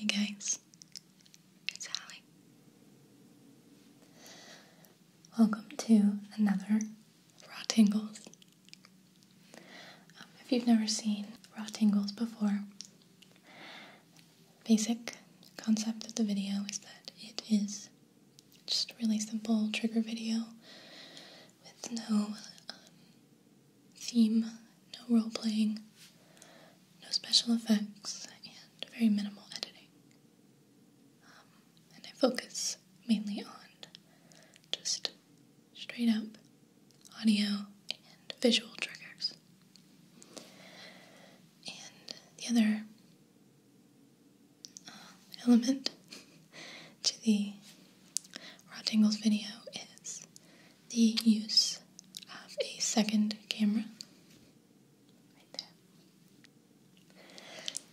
Hey guys, it's Allie. Welcome to another Raw Tingles. Um, if you've never seen Raw Tingles before, basic concept of the video is that it is just really simple trigger video with no um, theme, no role playing, no special effects, and very minimal editing. Um, and I focus mainly on just straight up audio and visual triggers. And the other uh, element to the Raw Tingles video is the use of a second camera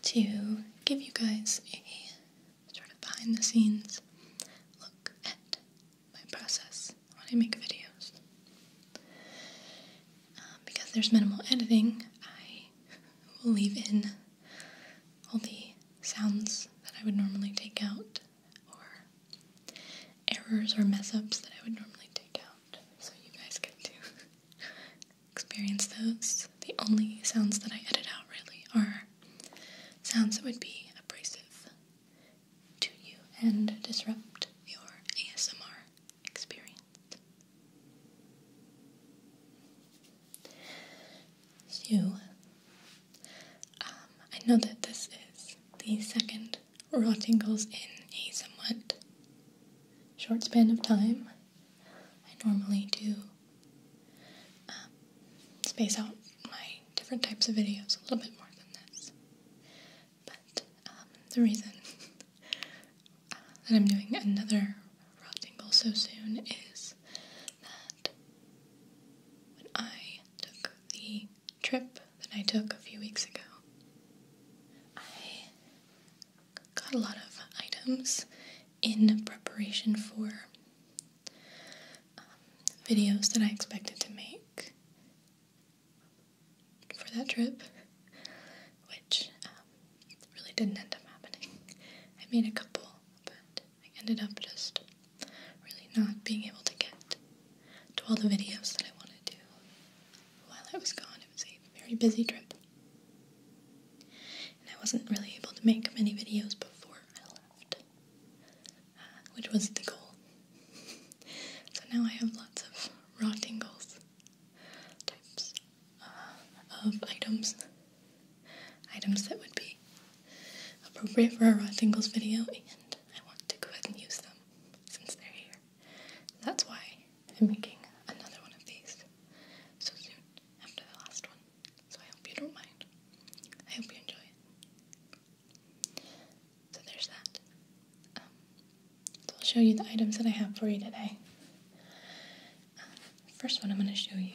to give you guys a sort of behind the scenes look at my process when I make videos. Um, because there's minimal editing, I will leave in all the sounds that I would normally take out, or errors or mess ups that I would normally take out, so you guys get to experience those. The only sounds that I edit out really are sounds that would be abrasive to you and disrupt your ASMR experience. So, um, I know that this is the second raw tingles in a somewhat short span of time. I normally do um, space out my different types of videos a little bit more than this. But um, the reason uh, that I'm doing another raw tingle so soon is that when I took the trip that I took a few weeks ago, I got a lot of items in preparation for um, videos that I expected to make for that trip, which um, really didn't end up happening. I made a couple, but I ended up just really not being able to get to all the videos that I wanted to while I was gone. It was a very busy trip. And I wasn't really able to make many videos before I left which was the goal. so now I have lots of raw tingles types uh, of items, items that would be appropriate for a raw tingles video, and I want to go ahead and use them since they're here. That's why I'm making another one of these so soon after the last one. So I hope you don't mind. I hope you enjoy it. So there's that. Um, so I'll show you the items that I have for you today. Um, first one I'm going to show you.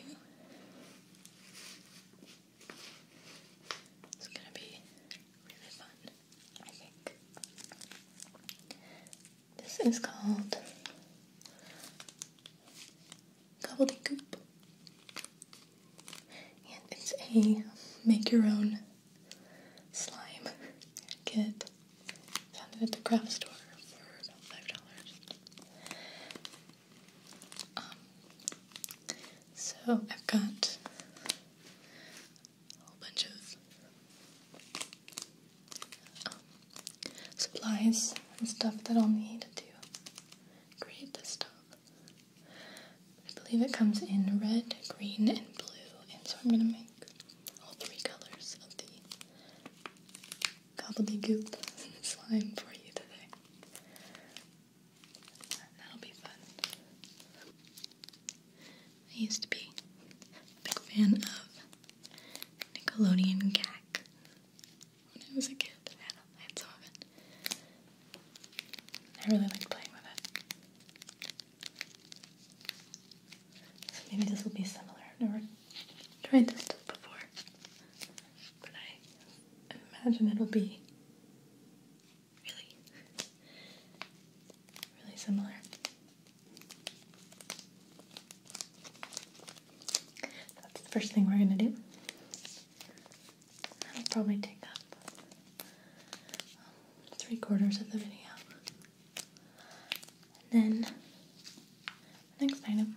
It's going to be really fun, I think. This is called Gobbledygook and it's a make your own slime kit. Found it at the craft store for five dollars. Um, so I've got a whole bunch of um, supplies and stuff that I'll need to create this stuff. I believe it comes in red, green, and blue, and so I'm gonna make all three colors of the gobbledygook slime for you today. That'll be fun. I used to be a big fan of Nickelodeon Gak when I was a kid. I had some of I really like playing with it. So maybe this will be similar. I've never tried this stuff before, but I imagine it'll be really, really similar. That's the first thing we're gonna do. That'll probably take up three quarters of the video. And then next item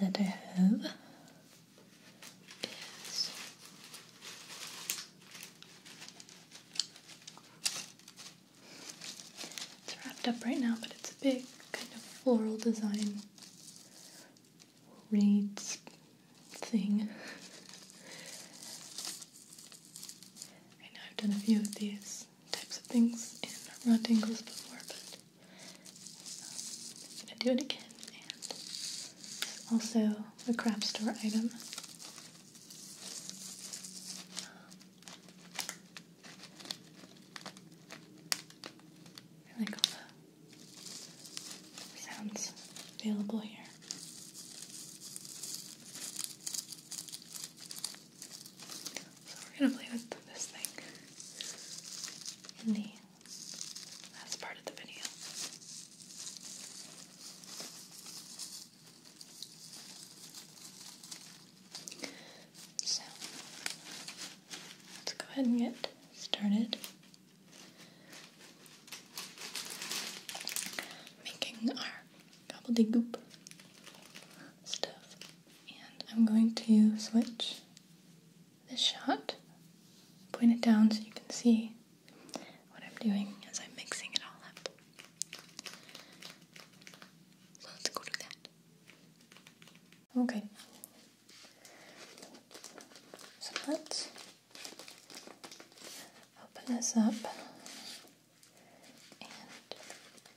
that I have is it's wrapped up right now, but it's a big kind of floral design reeds thing. I know I've done a few of these types of things in raw tingles before, but um, I'm gonna do it again. And also a craft store item. Um, I like all the sounds available here. So we're gonna play with this thing in the last part of the video. So let's go ahead and get started making our gobbledygook stuff. And I'm going to switch this shot, point it down so you can see what I'm doing as I'm mixing it all up. So let's go do that. Okay, so let's open this up and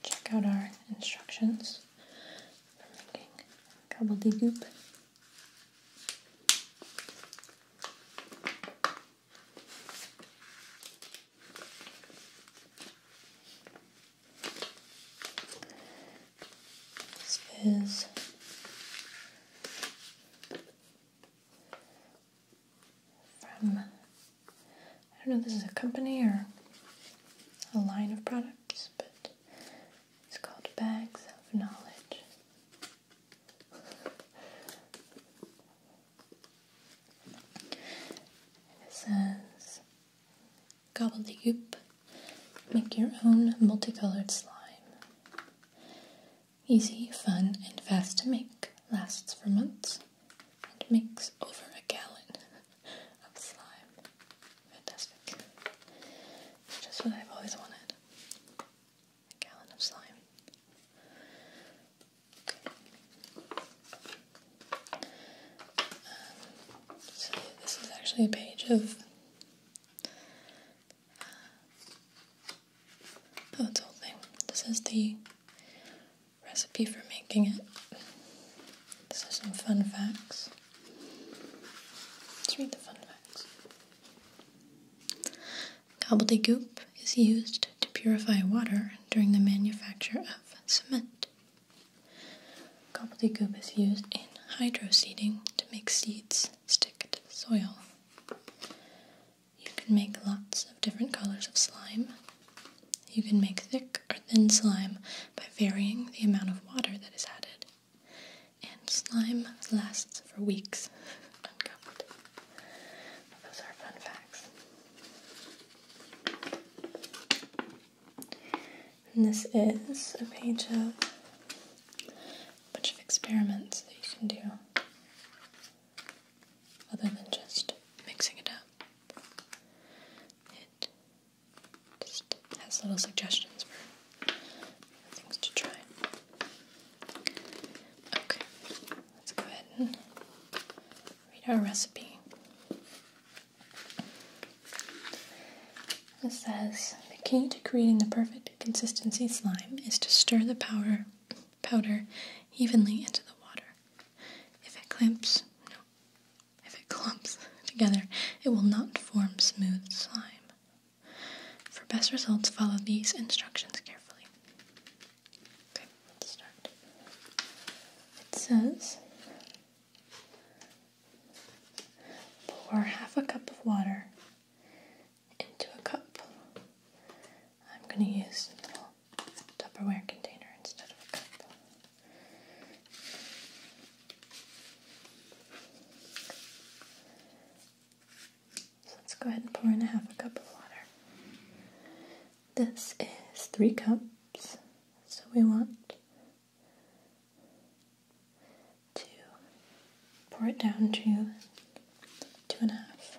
check out our instructions for making gobbledygook. Spurs. From, I don't know, this is a company or a line of products, but it's called Bags of Knowledge. It says Gobbledygook Make your own multicolored slime. Easy, fun, and fast to make. Lasts for months and makes over a gallon of slime. Fantastic. just what I've always wanted. A gallon of slime. Um, this is actually a page of Oh, it's whole thing. This is the recipe for making it. This is some fun facts. Let's read the fun facts. goop is used to purify water during the manufacture of cement. goop is used in hydroseeding to make seeds stick to the soil. You can make lots of different colors of slime. You can make thick or thin slime by varying the amount of water that is added. And slime lasts for weeks Those are fun facts. And this is a page of bunch of experiments that you can do other than just mixing it up. It just has little suggestions for things to try. Okay, let's go ahead and read our recipe. It says the key to creating the perfect consistency slime is to stir the powder powder evenly into the water. If it clamps if it clumps together, it will not form smooth slime. For best results, follow these instructions carefully. Okay, let's start. It says Pour half a cup of water into a cup. I'm going to use a little Tupperware container instead of a cup. So let's go ahead and pour in a half a cup of water. This is three cups, so we want to pour it down to two and a half.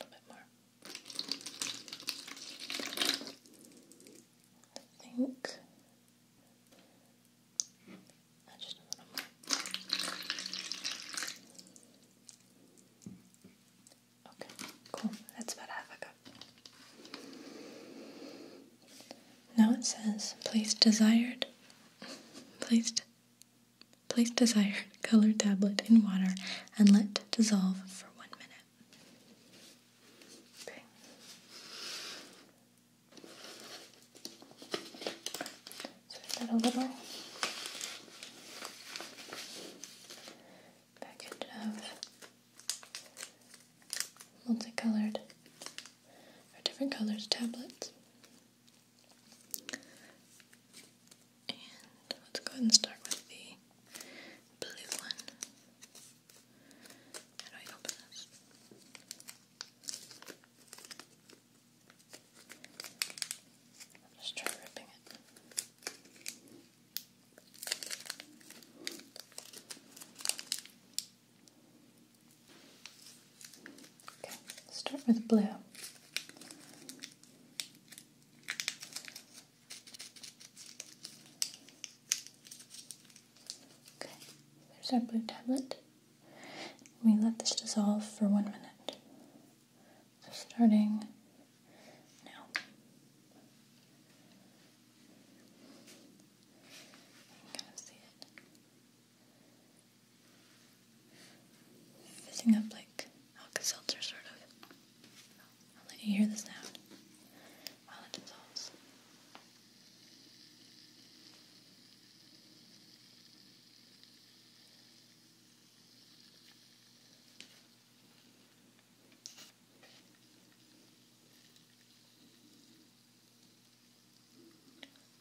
A bit more. I think Okay, cool. That's about half a cup. Now it says place desired placed place desired color tablet in water and let dissolve for one minute. Okay. So we got a little package of multicolored or different colors tablets. And let's go ahead and start with the blue one. How I open this? Let's try ripping it. Okay, start with blue. Okay, there's our blue tablet. We let this dissolve for one minute starting now. You can kind of see it fitting up like Alka Seltzer, sort of. I'll let you hear the sound while it dissolves.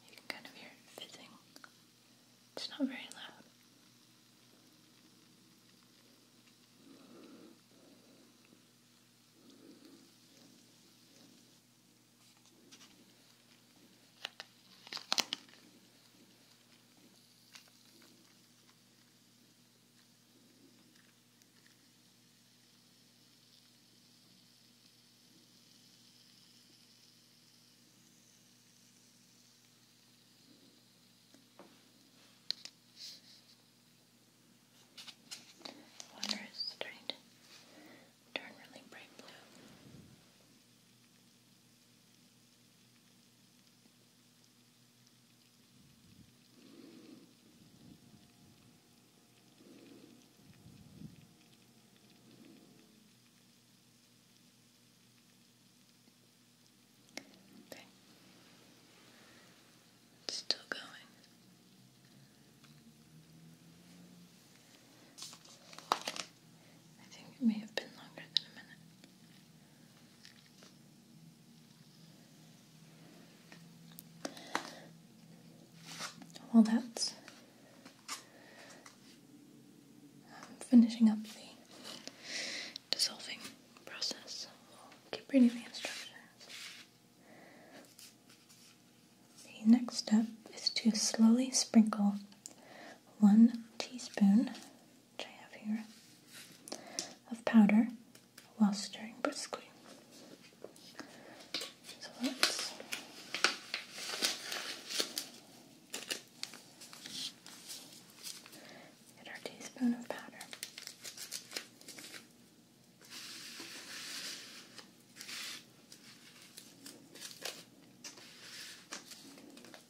You can kind of hear it fizzing. It's not very loud. Water is starting to turn really bright blue. Okay. It's still going. I think it may have been longer than a minute. Well, that's finishing up the dissolving process. We'll keep reading the instructions. The next step is to slowly sprinkle one teaspoon which I have here, of powder while stirring briskly. So let's get our teaspoon of powder. So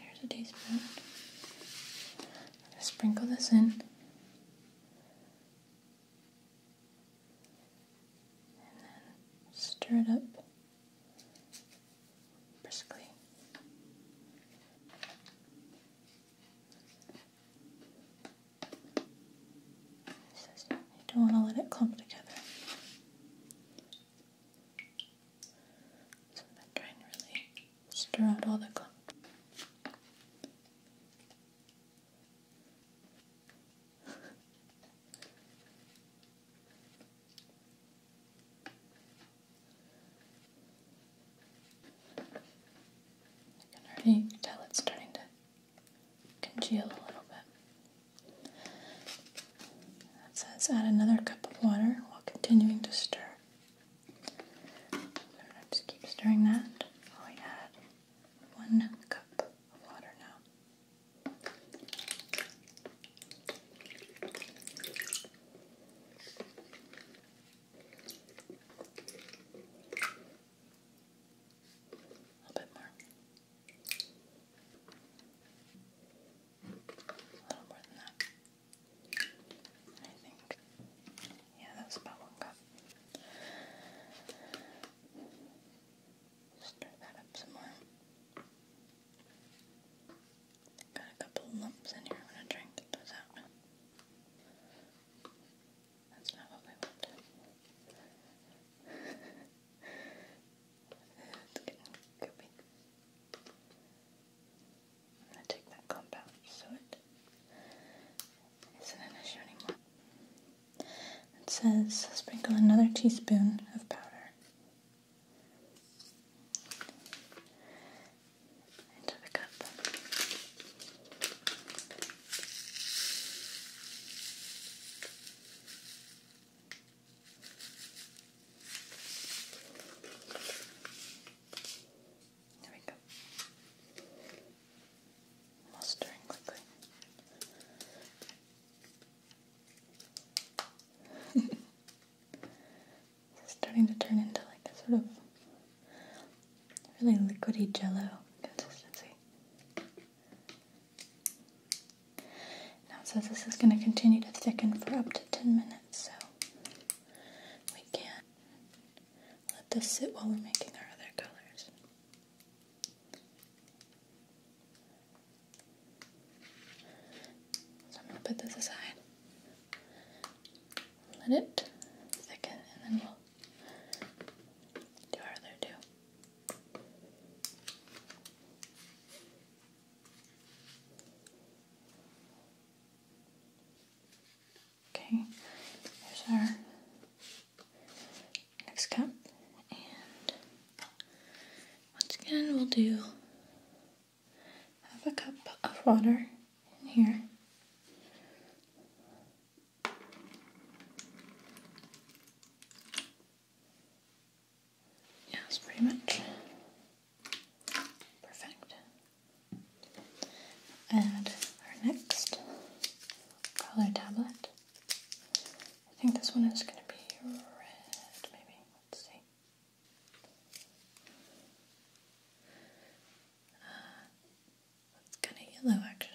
here's a teaspoon. Sprinkle this in. And then stir it up briskly. You don't want to let it clump together. So I'm trying to really stir out all the clump. I can already tell it's starting to congeal a little bit. That says add another cup of water while continuing to stir. just keep stirring that while we one cup of water now. A little bit more. A little more than that. I think. Yeah, that's about one cup. Stir that up some more. Got a couple lumps in here. I'm gonna try those out. That's not what we want. it's that clump out so it it says sprinkle another teaspoon of powder. Into the cup. There we go while stirring quickly. it's starting to turn into like a sort of really liquidy jello consistency. Now says this is going to continue to thicken for up to 10 minutes, so we can let this sit while we're making our other colors. So I'm going to put this aside. Let it thicken and then we'll do our other two. Okay, here's our next cup. And once again, we'll do half a cup of water in here. Yeah, pretty much perfect. Add our next color tablet. I think this one is going to be red, maybe. Let's see. Uh, it's kind of yellow, actually.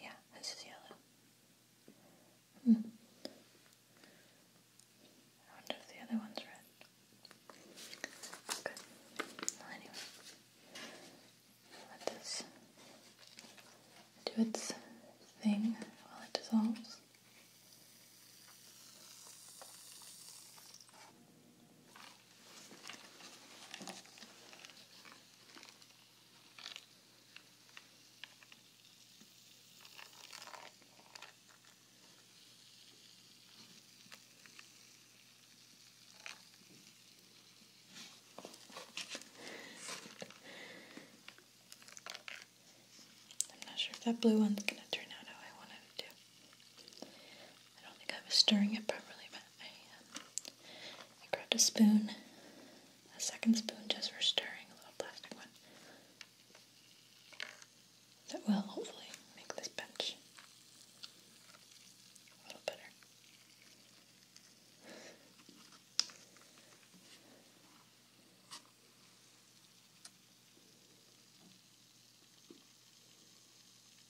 Yeah, this is yellow. Hmm. I wonder if the other one's red. Good. anyway, let this do its thing while it dissolves. I'm not sure if that blue one's going to turn out how I wanted it to. I don't think I was stirring it properly, but um, I, grabbed a spoon, a second spoon just for stirring, a little plastic one. That will hopefully make this bench a little better.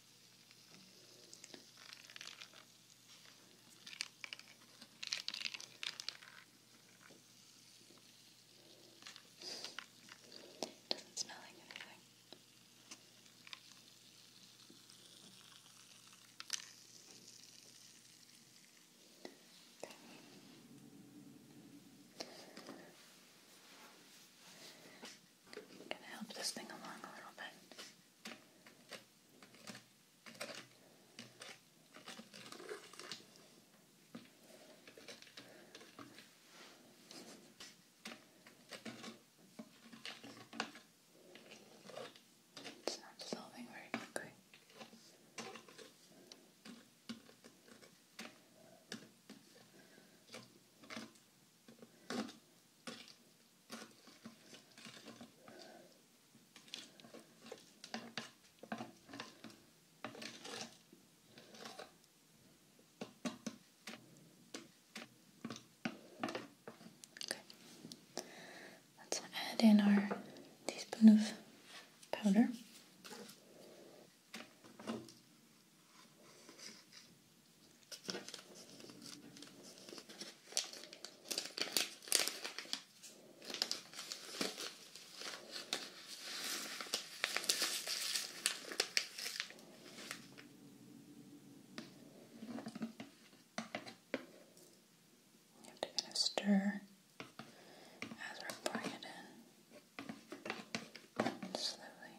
It doesn't smell like anything. Okay. Gonna help this thing along a little bit. It's not dissolving very quickly. Let's add in our teaspoon of powder. You have to kind of stir as we're pouring it in slowly.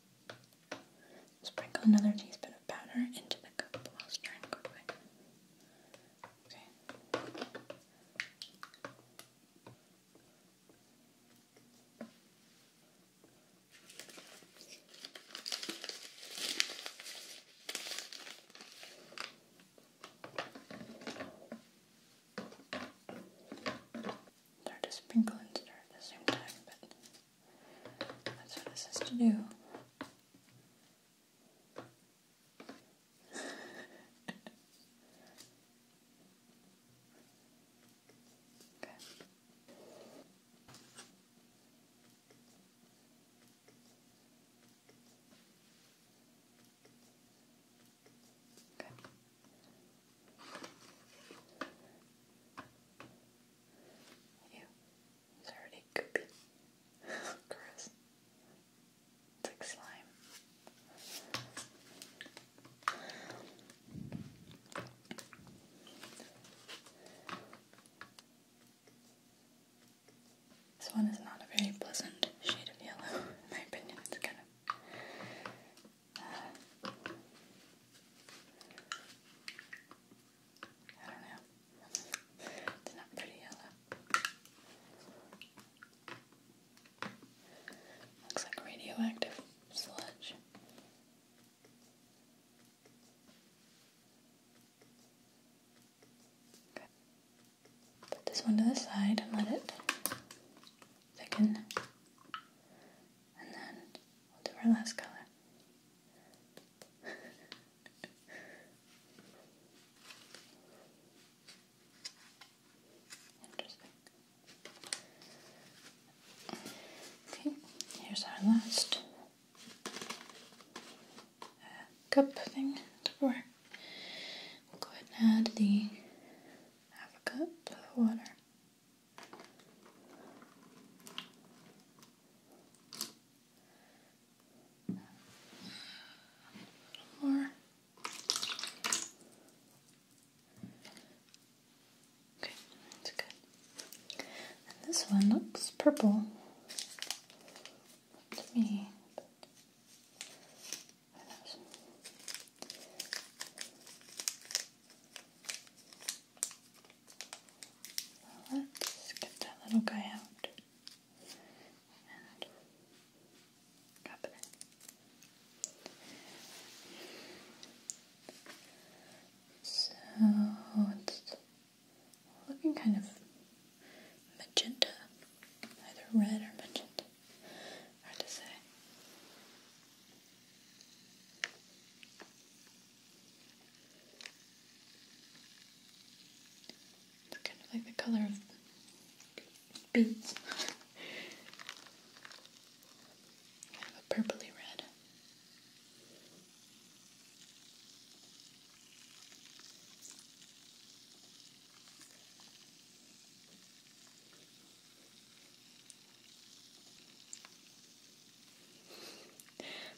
Sprinkle another teaspoon of powder into the cup while stirring quickly. Okay. Start to sprinkle and stir at the same time, that's what this has to do. okay. Okay. Ew. It's already goopy. Gross. It's like slime. This one is not a very pleasant shade of yellow, in my opinion. It's kind of I don't know. It's not pretty yellow. Looks like radioactive sludge. Okay. Put this one to the side and let it thicken and then we'll do our last color. Interesting. Okay, here's our last uh, cup thing to pour. We'll go ahead and add the half a cup of water more. Okay, that's good. this one looks purple me let's get that little guy out So it's looking kind of magenta, either red or magenta. Hard to say. It's kind of like the color of beads. a purpley red.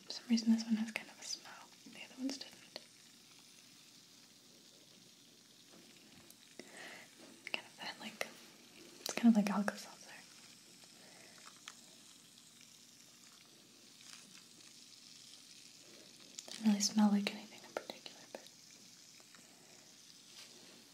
For some reason this one has kind of a smell, the other ones didn't. Kind of that like, it's kind of like Alka-Seltzer. Doesn't really smell like anything in particular, but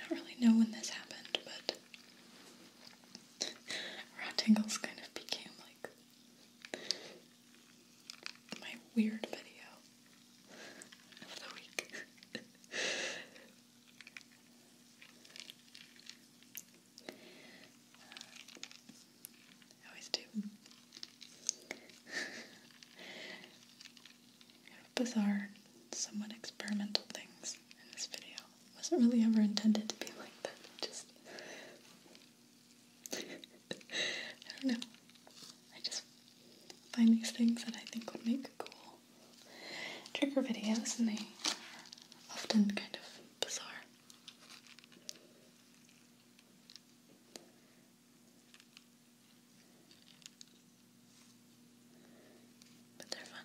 I don't really know when this happened, but raw kind of became like my weird video of the week. I always do. bizarre, somewhat experimental things in this video. wasn't really ever intended to be like that. Just I don't know. I just find these things that I think would make cool trigger videos and they are often kind of bizarre. But they're fun.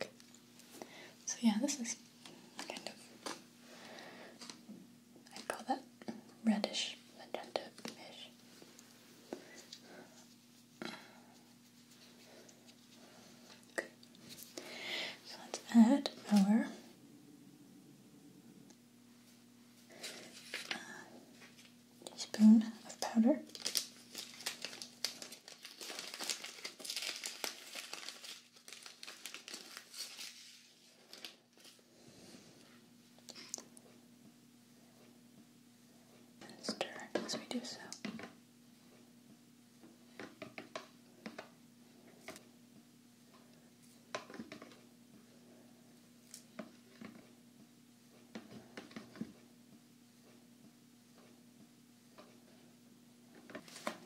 Okay. So yeah, this is kind of I'd call that reddish magenta-ish. So let's add our uh, teaspoon of powder and stir as we do so.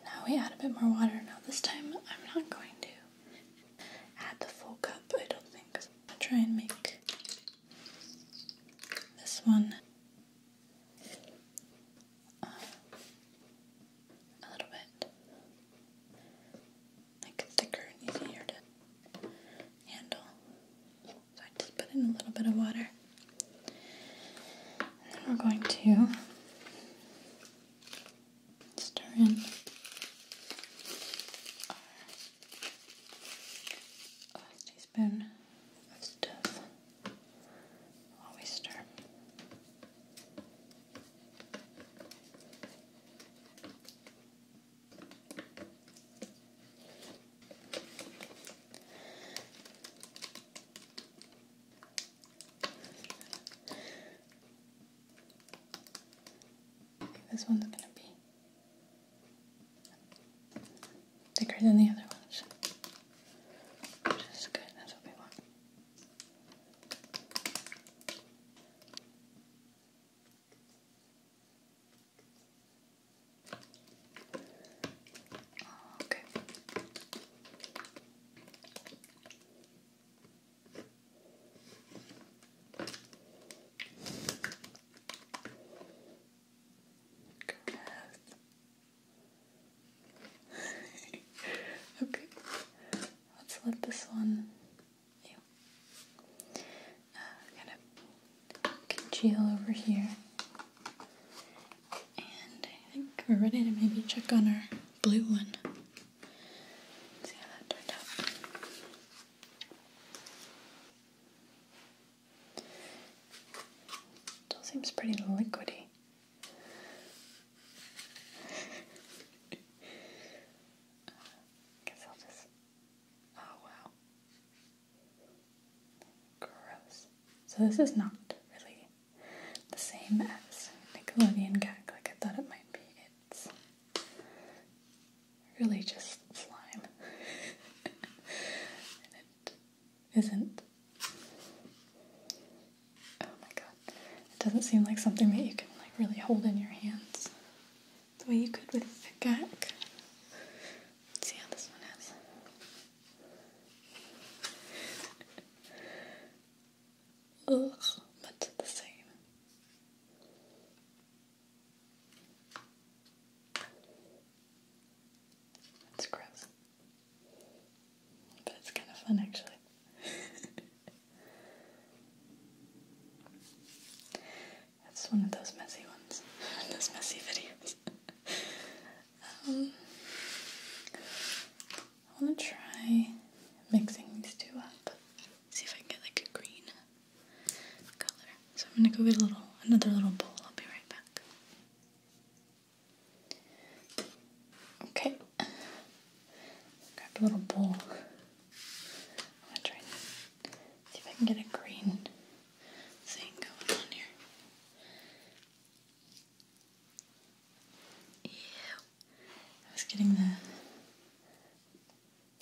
Now we add a bit more water. Now, this time I'm not going to add the full cup, I don't think. I'll try and make this one a little bit like thicker and easier to handle. So I just put in a little bit of water. we're going to stir in Spoon of stuff. Always stir. This one's going to be Thicker than the other ones. Which is good, that's what we want. Okay. Goodness. okay, let's let this one kind uh, of congeal over here. And I think we're ready to maybe check on our blue one. see how that turned out. Still seems pretty liquidy. guess I'll just. Oh wow. Gross. So this is not really the same as Nickelodeon gag like I thought it might be. It's really just slime. it isn't. Oh my god. It doesn't seem like something that you can like really hold in your hands the way you could with the gack. see how this one is. Ugh, much the same. That's gross. But it's kind of fun actually. That's one of those messy ones. those messy videos. um, I want to try mixing these two up. See if I can get like a green. So I'm gonna go get a little another little bowl. I'll be right back. Okay. Grab a little bowl. I'm gonna try and see if I can get a green thing going on here. Ew. I was getting the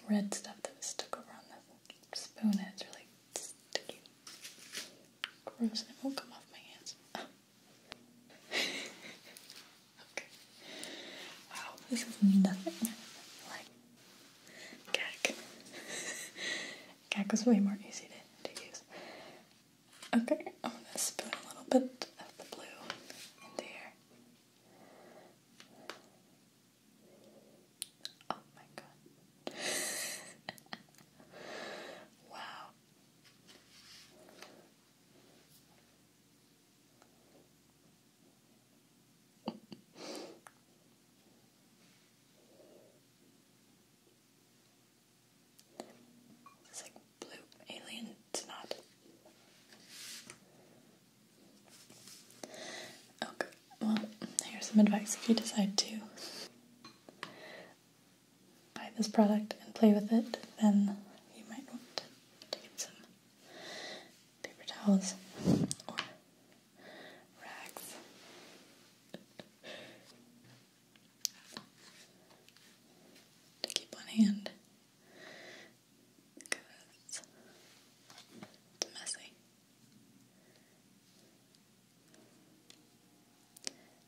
red stuff that was stuck over on the spoon and it's really sticky. Gross, and it won't come off my hands. okay. Wow, this is nothing like Gak. Gak was way more easy to, to use. Okay, I'm gonna spoon a little bit of the blue in there. Oh my god. wow. It's like blue alien, it's not. Okay. Well, here's some advice if you decide to buy this product and play with it, then you might want to take some paper towels or rags. To keep on hand because it's messy.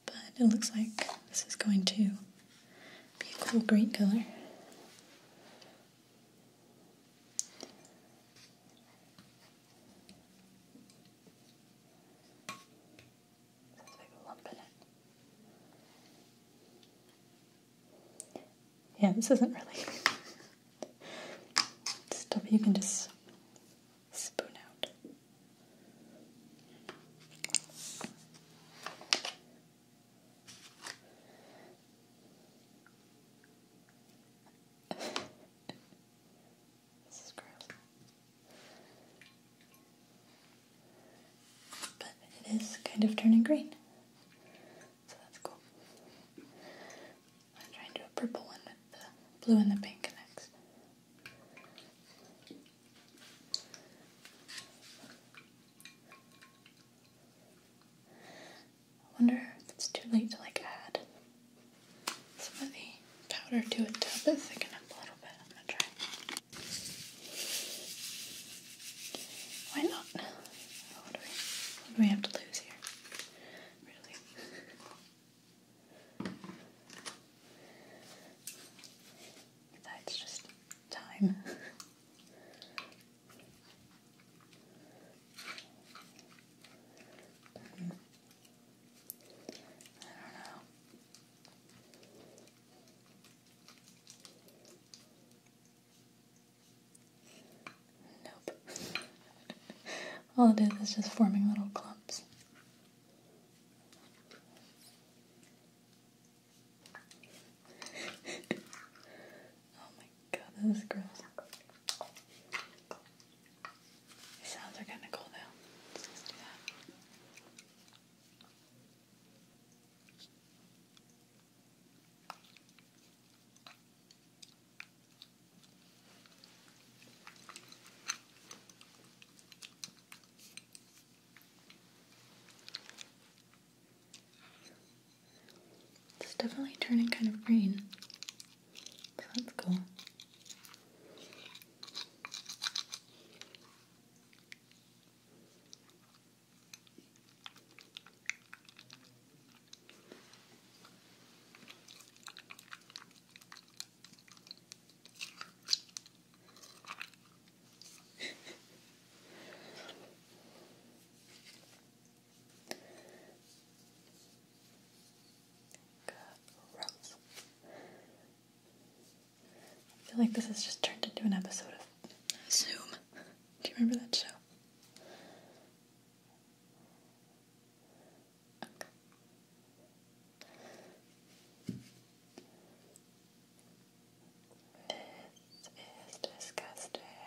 But it looks like this is going to be a cool green color. Yeah, this isn't really Stop, you can just spoon out. this is gross. But it is kind of turning green so that's cool. I'm trying to do a purple one with the blue and the pink next. I wonder if it's too late to like add some of the powder to it to help it thicken up a little bit. I'm gonna try. Why not? what do we have to lose here? really. That's just time. Mm. I don't know. Nope. All it is is just forming little clumps. oh my god, this is gross. sounds are kind of cool though. let's do that. It's definitely turning kind of green. that's cool. Gross. I feel like this has just turned into an episode of Zoom. Do you remember that show? Okay. This is disgusting.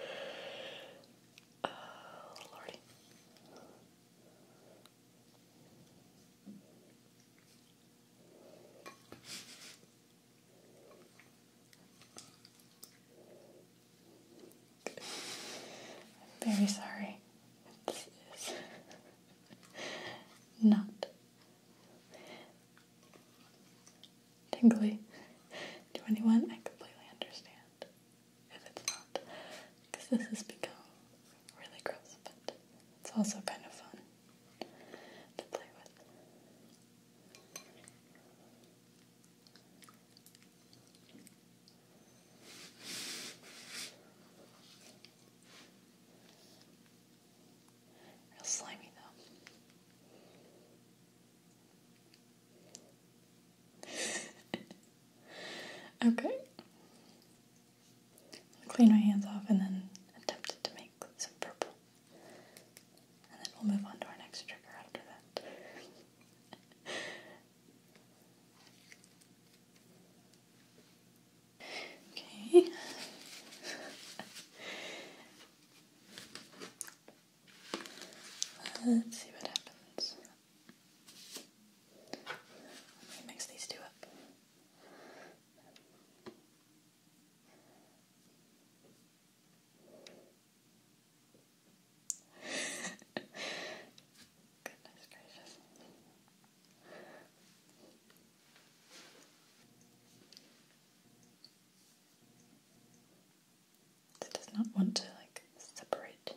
oh, Lordy. I'm very sorry. This is not tingly to anyone. I completely understand if it's not, because this has become really gross, but it's also kind of fun to play with. Real slimy though. okay. clean my hands off and then attempt to make some purple. And then we'll move on to our next trigger after that. okay. Let's see what happens. Let me mix these two up. Goodness gracious. It does not want to like separate. There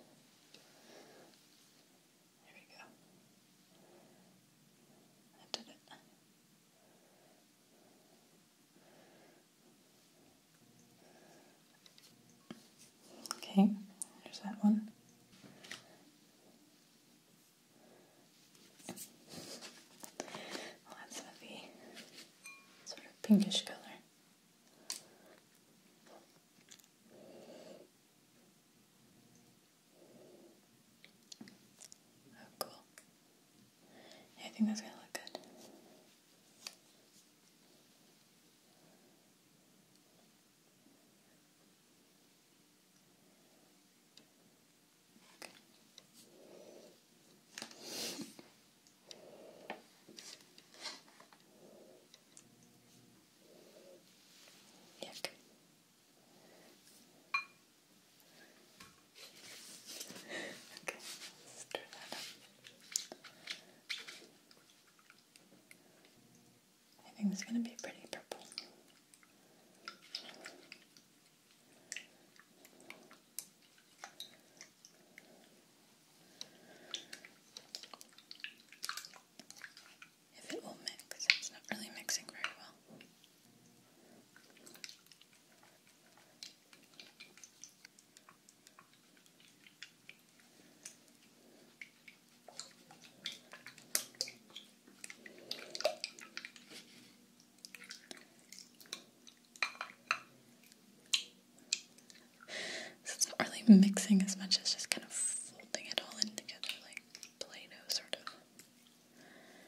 we go. I did it. Okay, there's that one. that's heavy, sort of pinkish color. Oh, cool. I think that's gonna look good. Yuck. Okay, let that up. I think it's going to be pretty purple. If it will mix, it's not really mixing very well. So it's not really mixing as much as just kind of folding it all in together like play sort of.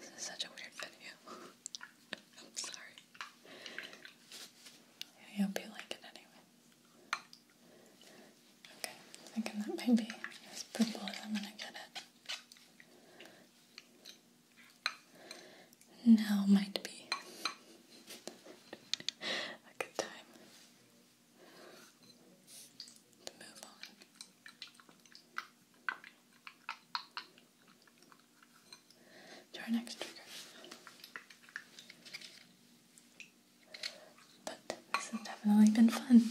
This is such a weird video. I'm sorry. I hope you like it anyway. Okay, thinking that might be as purple as I'm gonna get it. Now might be a good time to move on. To our next trigger. But this has definitely been fun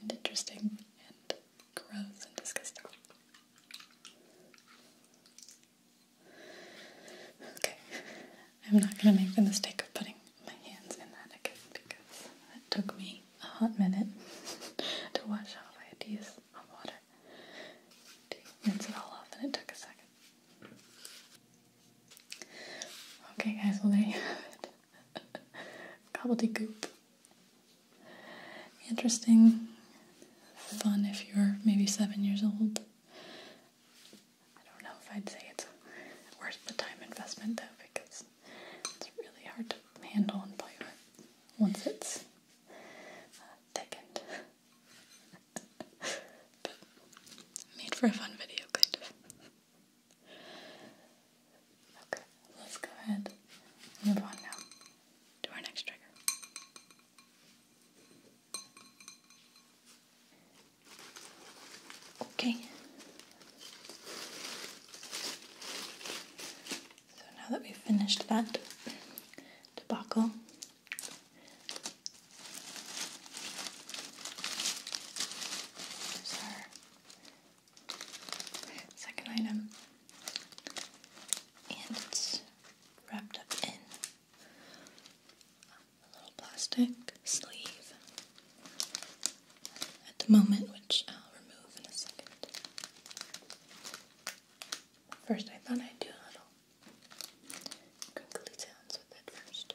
and interesting and gross and disgusting. Okay, I'm not going to make the mistake of putting my hands in that again because it took me a hot minute to wash off. my ideas to water to rinse it all off, and it took a second. Okay, guys, well, there you have it. Interesting, fun if you're maybe seven years old. I don't know if I'd say it's worth the time investment though because it's really hard to handle and play with once it's uh, thickened. but made for a fun video, kind of. Okay, let's go ahead and move on now to our next trigger. Okay. So now that we've finished that debacle, here's our second item, and it's wrapped up in a little plastic sleeve at the moment, which I'll remove in a second. First, I thought I'd do a little crinkly sounds with it first.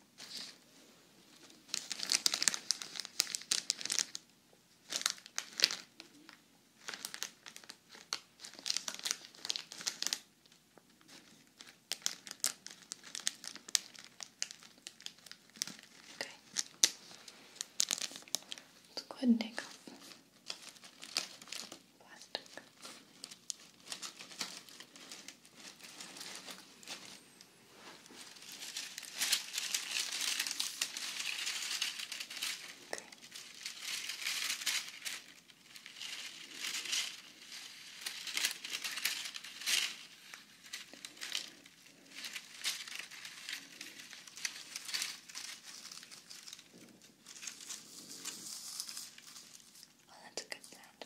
Okay. Let's go ahead and take off plastic. Okay. Well, oh, that's a good sound.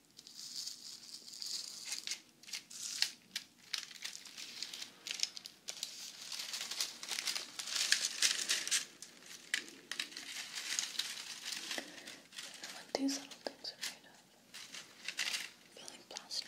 I what these little things are made of. Feeling plastic.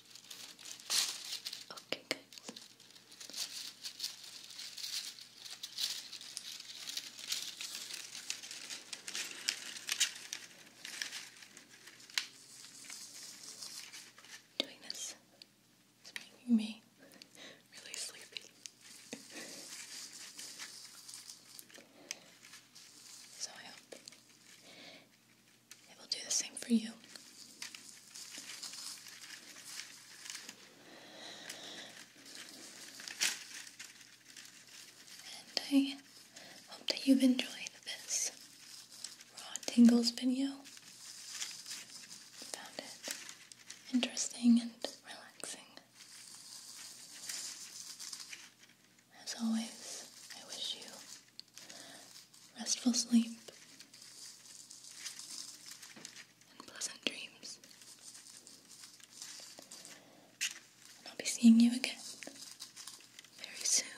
Okay, guys. Doing this is making me really sleepy. so I hope it will do the same for you. And I hope that you've enjoyed this raw tingles video. Found it interesting and relaxing. As always, I wish you restful sleep and pleasant dreams. I'll be seeing you again very soon.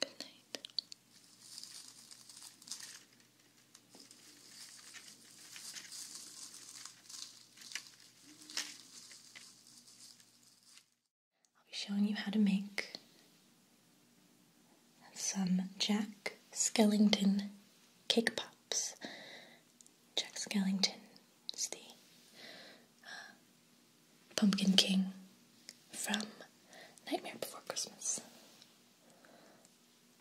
Good night. I'll be showing you how to make some Jack Skellington cake pops. Jack Skellington is the uh, Pumpkin King from Nightmare Before Christmas.